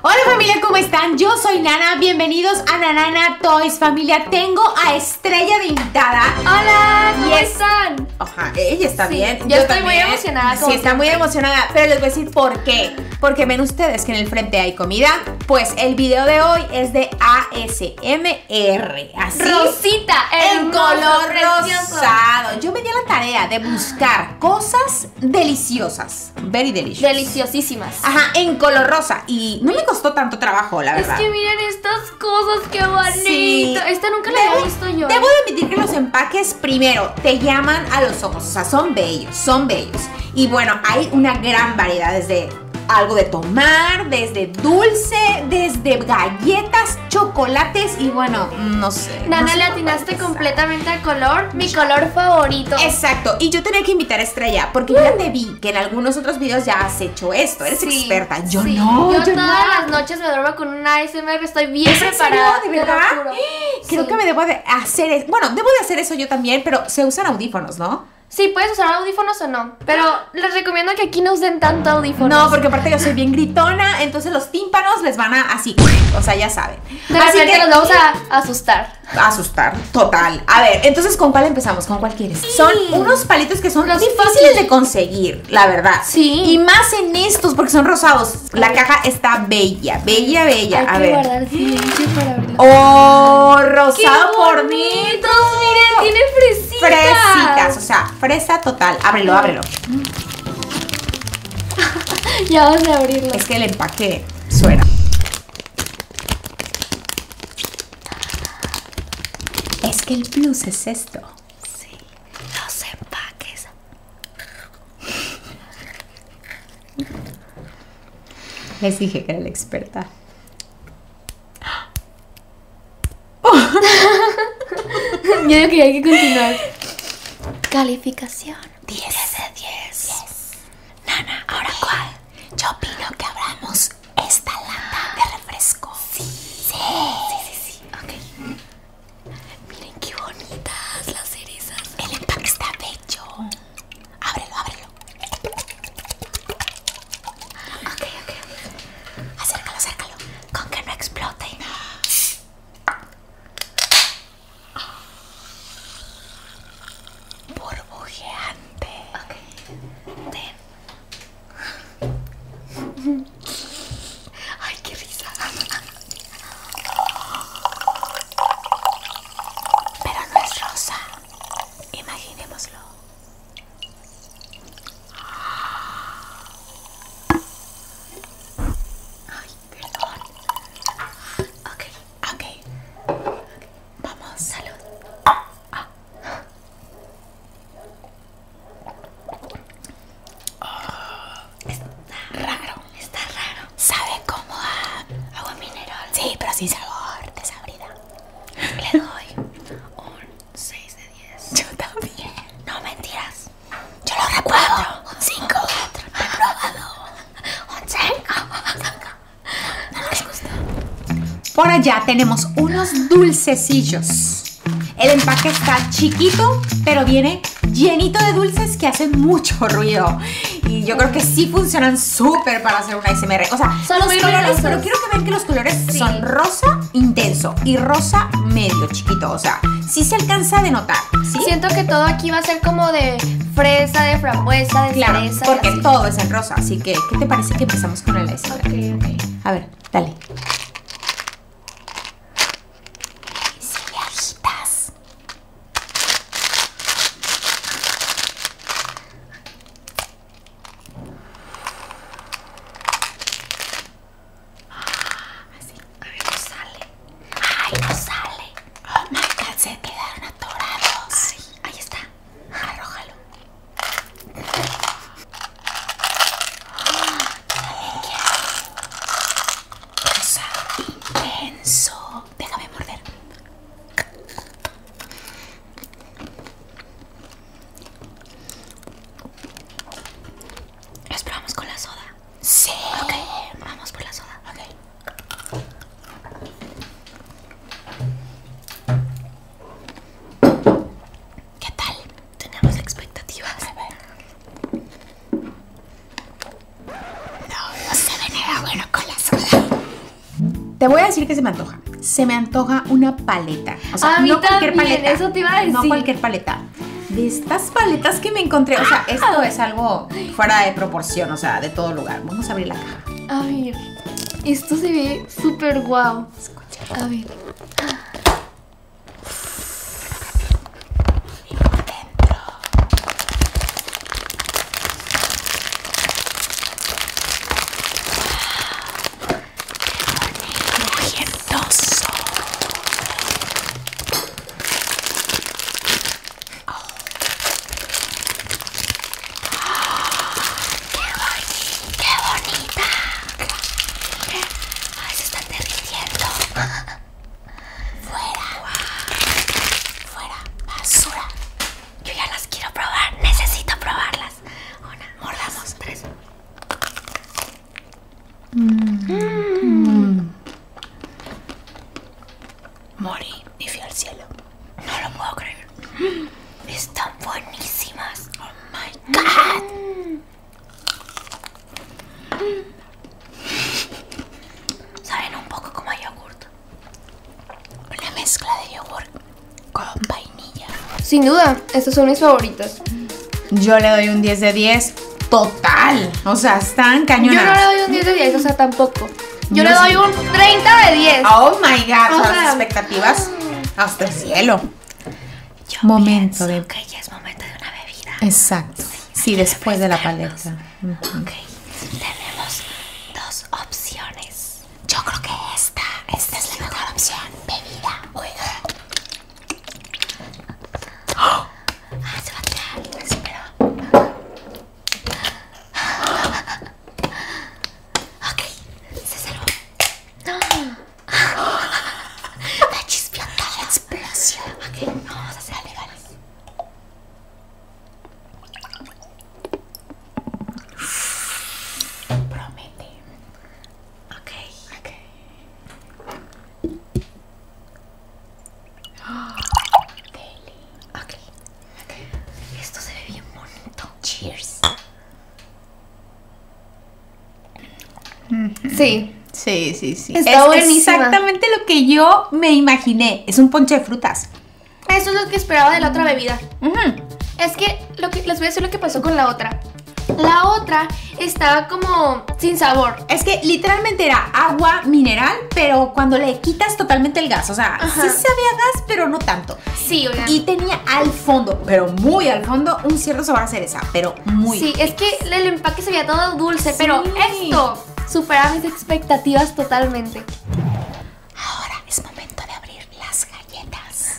Hola familia, ¿cómo están? Yo soy Nana, bienvenidos a Nanana Toys familia. Tengo a Estrella de invitada. Hola, ¿cómo ella está bien. Yo, estoy muy emocionada. Sí, está muy emocionada, pero les voy a decir por qué. Porque ven ustedes que en el frente hay comida. Pues el video de hoy es de ASMR. Así. Rosita, en color rosado. Yo me di la tarea de buscar buscar cosas deliciosas. Very delicious. Deliciosísimas. Ajá, en color rosa. Y no me costó tanto trabajo, la verdad. Es que miren estas cosas, qué bonito. Esta nunca la había visto yo. Debo admitir que los empaques, primero, te llaman a los ojos. O sea, son bellos, son bellos. Y bueno, hay una gran variedad desde algo de tomar, desde dulce, desde galletas chocolates y bueno, no sé. Nana, le atinaste completamente al color, mi color favorito. Exacto, y yo tenía que invitar a Estrella porque yo ya te vi que en algunos otros videos ya has hecho esto, eres experta. Yo no. Yo, todas las noches me duermo con una ASMR, estoy bien preparada. ¿De verdad? Creo que me debo de hacer Bueno, debo de hacer eso yo también, pero se usan audífonos, ¿no? Sí, puedes usar audífonos o no, pero les recomiendo que aquí no usen tanto audífonos. No, porque aparte yo soy bien gritona, entonces los tímpanos les van a así, o sea, ya saben. así que nos vamos a asustar. Asustar, total. A ver, entonces, ¿con cuál empezamos? ¿Con cuál quieres? Son unos palitos que son los fáciles de conseguir, la verdad. Sí. Y más en estos, porque son rosados. La caja está bella, bella, bella. a ver. Oh, rosado por miren, tiene fresitas. Fresitas, o sea, fresa total. Ábrelo, ábrelo. ya vas a abrirlo. Es que el empaque suena. Es que el plus es esto. Sí, los empaques. Les dije que era la experta. Oh. Yo que hay que continuar. Calificación. 10 de 10. Nana, ¿ahora cuál? Yo opino que abramos esta lata de refresco. Sí. Sí. Sí, sí, Miren qué bonitas las cerezas. El empaque está bello. Ábrelo, ábrelo. Ok, ok. Acércalo, acércalo con que no explote. Burbujeante. Okay. Ay, qué risa. Pero no es rosa. Imaginémoslo. Ay, perdón. Ok, ok. Vamos, salud. Ah. está raro, está raro. Sabe como agua mineral. Sí, pero sin sabor, desabrida. Le doy un 6 de 10. Yo también. No mentiras. Yo lo recuerdo. Un 5. 4. Un No les gusta. Por allá tenemos unos dulcecillos. El empaque está chiquito, pero viene llenito de dulces que hacen mucho ruido. Y yo creo que sí funcionan súper para hacer una ASMR. O sea, son pero quiero que vean que los colores son rojos rosa intenso y rosa medio chiquito. O sea, sí se alcanza a notar, si Siento que todo aquí va a ser como de fresa, de frambuesa, de claro, Porque todo es en rosa. Así que, ¿qué te parece que empezamos con el S? A ver, dale así. Ah, a ver, no sale. Ay, no sale. Oh my se quedaron atorados. Sí, ahí está. Arrójalo. Oh, intenso. Déjame morder. ¿Los probamos con la soda? Sí. Ok, vamos por la soda. Ok. ¿Qué tal? Tenemos expectativas. No, no se ve nada bueno con la soda. Te voy a decir que se me antoja. Se me antoja una paleta. O sea, no cualquier paleta. Eso te iba a decir. No cualquier paleta. De estas paletas que me encontré. O sea, esto ah. es algo fuera de proporción, o sea, de todo lugar. Vamos a abrir la caja. A ver, esto se ve súper guau. Escucha. A ver. Qué bonito, qué, bonito, ¡Qué bonita! Ay, se está derritiendo. Fuera. Fuera. Basura. Yo ya las quiero probar. Necesito probarlas. Una, mordamos tres. Mm. Morí y fui al cielo. No lo puedo creer. Están buenísimas. Oh my god. Saben un poco como a yogurt. Una mezcla de yogurt con vainilla. Sin duda, estos son mis favoritos Yo le doy un 10 de 10 total. O sea, están cañonas. Yo no le doy un 10 de 10, o sea, tampoco. Yo le doy un 30 de 10. Oh my god, las expectativas mm. hasta el cielo. momento de... es momento de una bebida. Exacto. Sí, después de la paleta. Ok, tenemos dos opciones. Yo creo que esta, esta es la mejor opción. Bebida. Oiga. Ah, se va a tirar. Espera. Ok, se salvó. La chispiota, la explosión. Ok, no se hacer Promete. okay. okay. okay. Esto se ve bien bonito. Cheers. Sí. Sí, sí, sí. es exactamente lo que yo me imaginé. Es un ponche de frutas. Eso es lo que esperaba de la otra bebida. Es que, lo que les voy a decir lo que pasó con la otra. La otra estaba como sin sabor. Es que literalmente era agua mineral, pero cuando le quitas totalmente el gas. O sea, sí sabía gas, pero no tanto. Sí, Y tenía al fondo, pero muy al fondo, un cierto sabor a cereza, pero muy. Sí, es que el empaque se veía todo dulce, pero esto supera mis expectativas totalmente. Ahora es momento de abrir las galletas.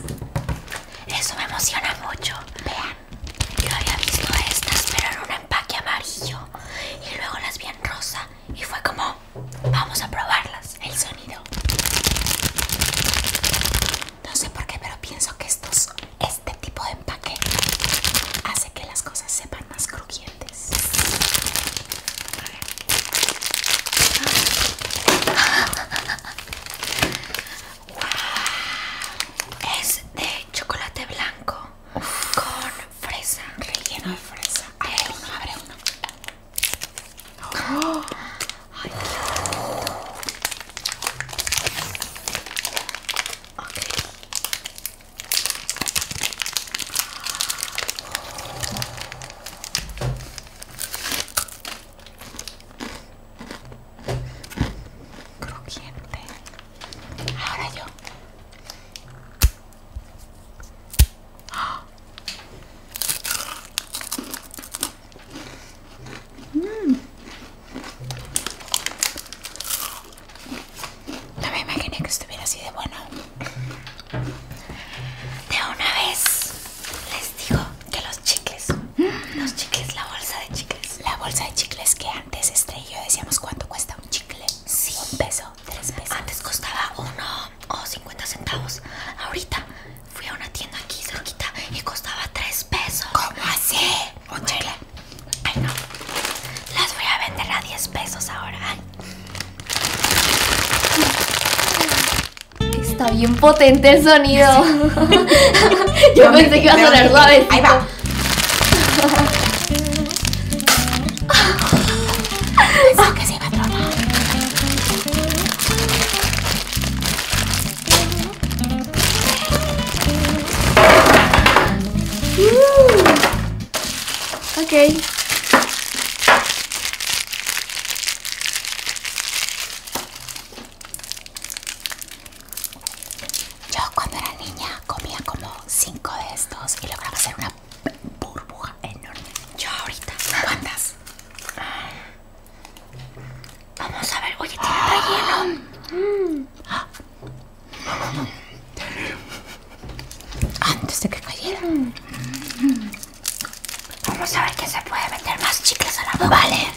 Eso me emociona mucho. Vean, yo había visto estas, pero en un empaque amarillo. Y luego las vi en rosa. Y fue como, vamos a probarlas. El sonido. No sé por qué, pero pienso que estos, este tipo de empaque hace que las cosas sepan más crujientes. Es de chocolate blanco con fresa. Relleno de fresa. Abre uno, abre uno. Oh. Crujiente. Ahora yo. Mm. No me imaginé que estuviera así de bueno. De una vez les digo que los chicles, los chicles, la bolsa de chicles, la bolsa de chicles que antes Estrella decíamos cuánto cuesta un chicle. Sí. Un peso, tres pesos. Antes costaba uno o 50 centavos. Ahorita fui a una tienda aquí cerquita y costaba tres pesos. ¿Cómo así? Un chicle. Ay no. Las voy a vender a 10 pesos ahora. Está bien potente el sonido. Yo pensé que iba a sonar suave. Ahí va. Ah, que se patrón. Ok. Yo cuando era niña comía como cinco de estos y lograba hacer una burbuja enorme. Yo ahorita, ¿cuántas? Vamos a ver, oye, tiene relleno. Antes de que cayera. Vamos a ver qué se puede meter más chicles al lado, Vale.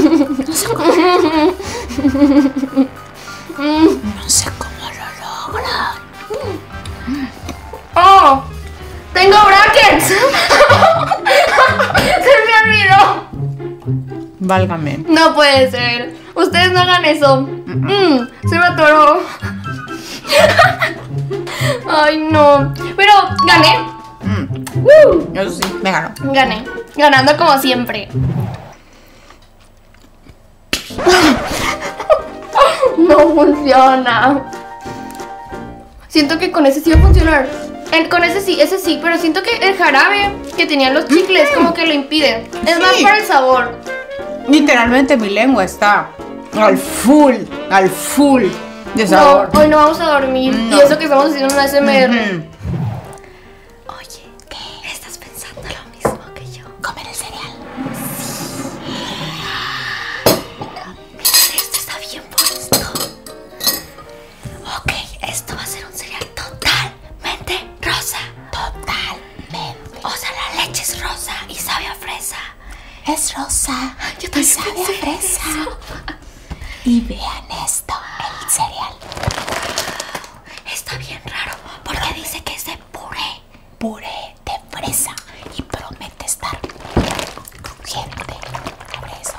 Lo No sé cómo, no sé cómo lo logra. ¡Oh! ¡Tengo brackets! ¡Se me olvidó! Válgame. No puede ser. Ustedes no hagan eso se me atoró. Ay, no. Pero gané. Mm. eso sí, me ganó. Gané. Ganando como siempre. no funciona. Siento que con ese sí va a funcionar. con ese sí, ese sí, pero siento que el jarabe que tenían los chicles como que lo impide. Es más para el sabor literalmente mi lengua está al full, al full de sabor. hoy no vamos a dormir. Pienso Y eso que estamos haciendo una SMR. Oye, ¿qué? ¿Estás pensando lo mismo que yo? ¿Comer el cereal? Esto está bien puesto. Ok, esto va a ser un cereal total Mente rosa. Totalmente. O sea, la leche es rosa y sabe a fresa. Es rosa. Yo y sabe a fresa. Y vean esto, el cereal. Está bien raro porque dice que es de puré. Puré de fresa y promete estar crujiente. Abre eso,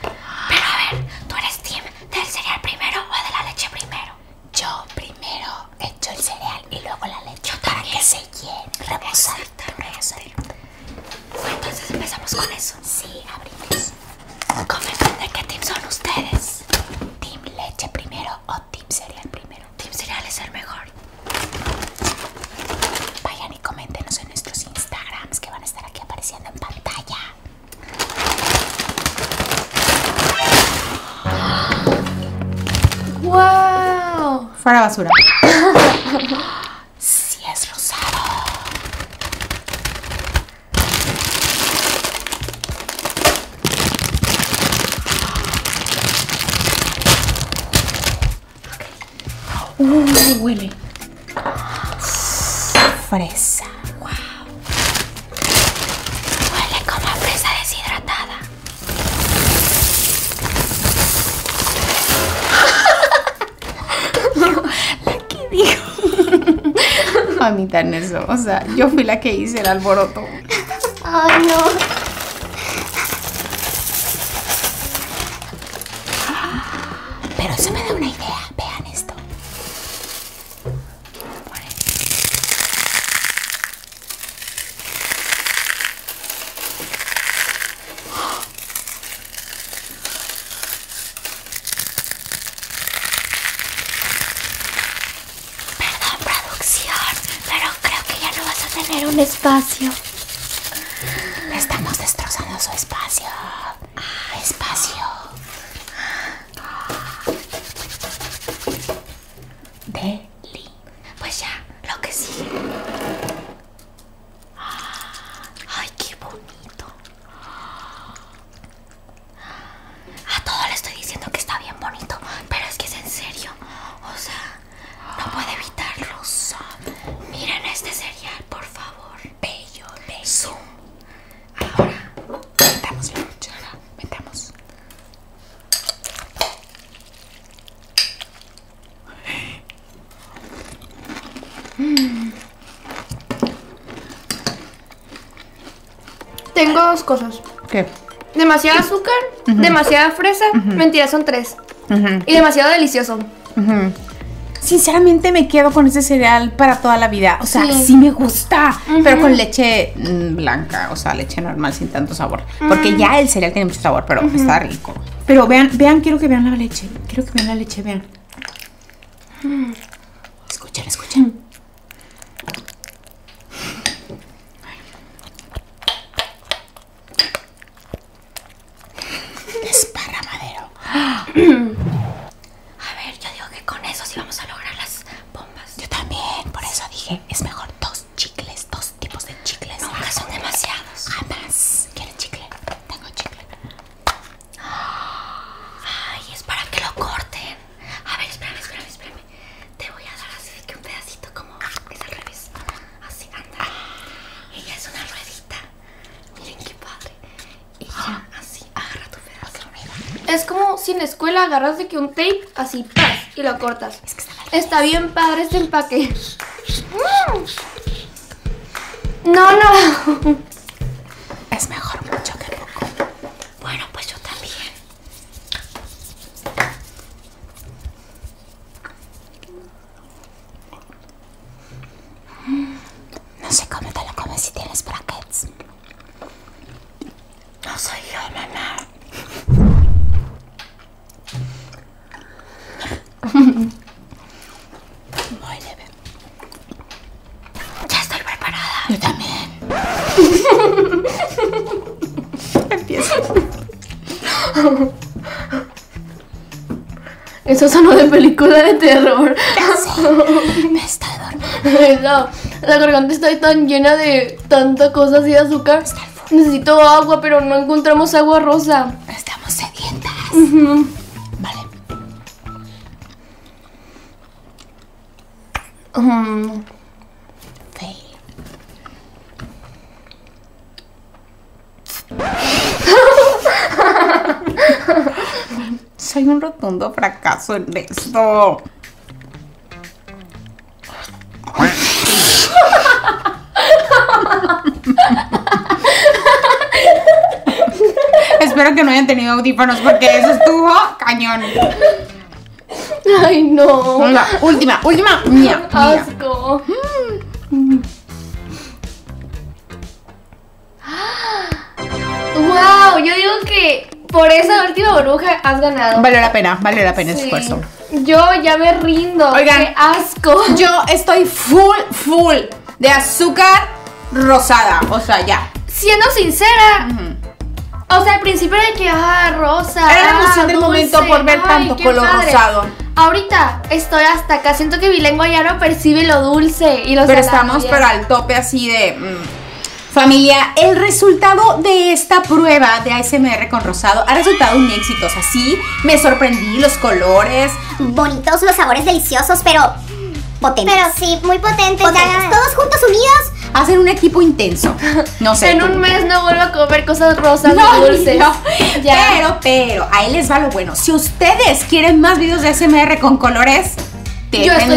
pero a ver, ¿tú eres team del cereal primero o de la leche primero? Yo primero echo el cereal y luego la leche para que se llene, reposar, entonces empezamos con eso. Sí, abrimos. Comenten de qué team son ustedes. Team leche primero o team cereal primero. Team cereal es el mejor. Vayan y coméntenos en nuestros Instagrams que van a estar aquí apareciendo en pantalla. ¡Wow! Fuera basura. sí es rosado. Okay. huele. Fresa. Wow. Huele como a fresa deshidratada. la que dijo. Mamita, en eso. O sea, yo fui la que hice el alboroto. Ay, no. Pero eso me da una idea. Vean esto. Perdón, producción, pero creo que ya no vas a tener un espacio. estamos destrozando su espacio. Ah, espacio. Belly Pues ya, lo que sigue. Ay, qué bonito. A todo le estoy diciendo que está bien bonito, pero es que es en serio. O sea, no puedo evitarlo. Miren este cereal, por favor bello, beso. Ahora metamos la cuchara, metamos. Mm. Tengo dos cosas. ¿Qué? Demasiado azúcar, demasiada fresa. Mentira, son tres. Y demasiado delicioso. Sinceramente me quedo con ese cereal para toda la vida. O sea, sí, me gusta, pero con leche mm, blanca, o sea, leche normal sin tanto sabor. Porque mm. ya el cereal tiene mucho sabor, pero está rico. Pero vean, vean, quiero que vean la leche. Quiero que vean la leche, vean. Mm. Escuchen, escuchen. Es parramadero. A ver, yo digo que con eso sí vamos a lograr las bombas. Yo también, por eso dije, es mejor dos chicles, dos tipos de chicles. Nunca son demasiados. Jamás. ¿Quieres chicle? Tengo chicle. Ay, es para que lo corten. A ver, espérame, espérame, espérame. Te voy a dar así que un pedacito como es al revés. Así, anda. Ella es una ruedita Miren qué padre. así, agarra tu pedazo. Es como si en escuela agarras de que un tape así, y lo cortas. está, está bien padre este empaque. Mm. No, no. Es mejor mucho que poco. Bueno, pues yo también. No sé cómo te lo comes si tienes brackets. No soy yo, mamá. Muy leve. Ya estoy preparada. Yo también. Empiezo. Eso son de película de terror. me está doliendo la garganta está tan llena de tanta cosa y azúcar. Necesito agua, pero no encontramos agua rosa. Estamos sedientas. Vale. Mm. Soy un rotundo fracaso en esto. Espero que no hayan tenido audífonos porque eso estuvo cañón. Ay, no. última, última. Mía, Asco. Mm. ¡Wow! Yo digo que por esa última burbuja has ganado. Vale la pena, vale la pena el esfuerzo. Yo ya me rindo. qué asco. Yo estoy full, full de azúcar rosada. O sea, ya. Siendo sincera. O sea, al principio era que, ah, rosa. Era la emoción ah, momento por ver tanto color rosado. Ahorita estoy hasta acá. Siento que mi lengua ya no percibe lo dulce y los. Pero estamos para el tope así de. Mm. Familia, el resultado de esta prueba de ASMR con rosado ha resultado un éxito. O sea, sí, me sorprendí los colores. Bonitos, los sabores deliciosos, pero potentes. Pero sí, muy potentes. Todos juntos unidos. Hacen un equipo intenso. No sé. En un mes no vuelvo a comer cosas rosas ni dulces. Ya. Pero pero, a ahí les va lo bueno. Si ustedes quieren más videos de SMR con colores, yo en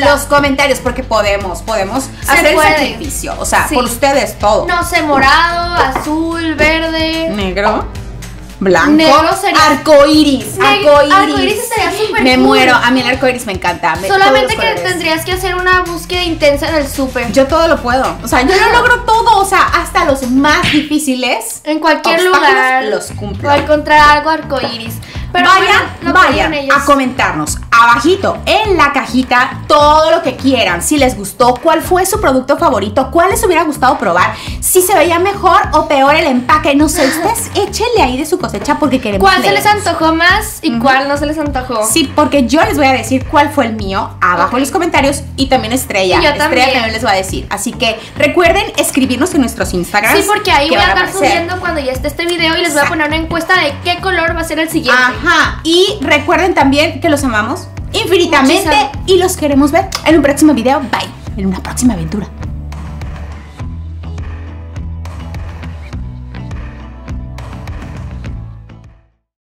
los comentarios porque podemos, podemos hacer el sacrificio. O sea, por ustedes todo. No sé, morado, azul, verde. Negro. Blanco. Negro sería. Arcoiris. estaría súper Me muero. A mí el arcoiris me encanta. Solamente que tendrías que hacer una búsqueda intensa en el súper. Yo todo lo puedo. O sea, yo lo logro todo. O sea, hasta los más difíciles. En cualquier lugar. Los cumplo. O encontrar algo arcoíris. Pero vayan, vayan a comentarnos abajito en la cajita todo lo que quieran. Si les gustó, cuál fue su producto favorito, cuál les hubiera gustado probar, si se veía mejor o peor el empaque. No sé, ustedes échenle ahí de su cosecha porque queremos. ¿Cuál se les antojó más y cuál no se les antojó? Sí, porque yo les voy a decir cuál fue el mío Abajo en los comentarios y también Estrella. Y Estrella también les va a decir. Así que recuerden escribirnos en nuestros Instagram Sí, porque ahí voy a estar subiendo cuando ya esté este video y les voy a poner una encuesta de qué color va a ser el siguiente. Ajá. Y recuerden también que los amamos infinitamente y los queremos ver en un próximo video. Bye. En una próxima aventura.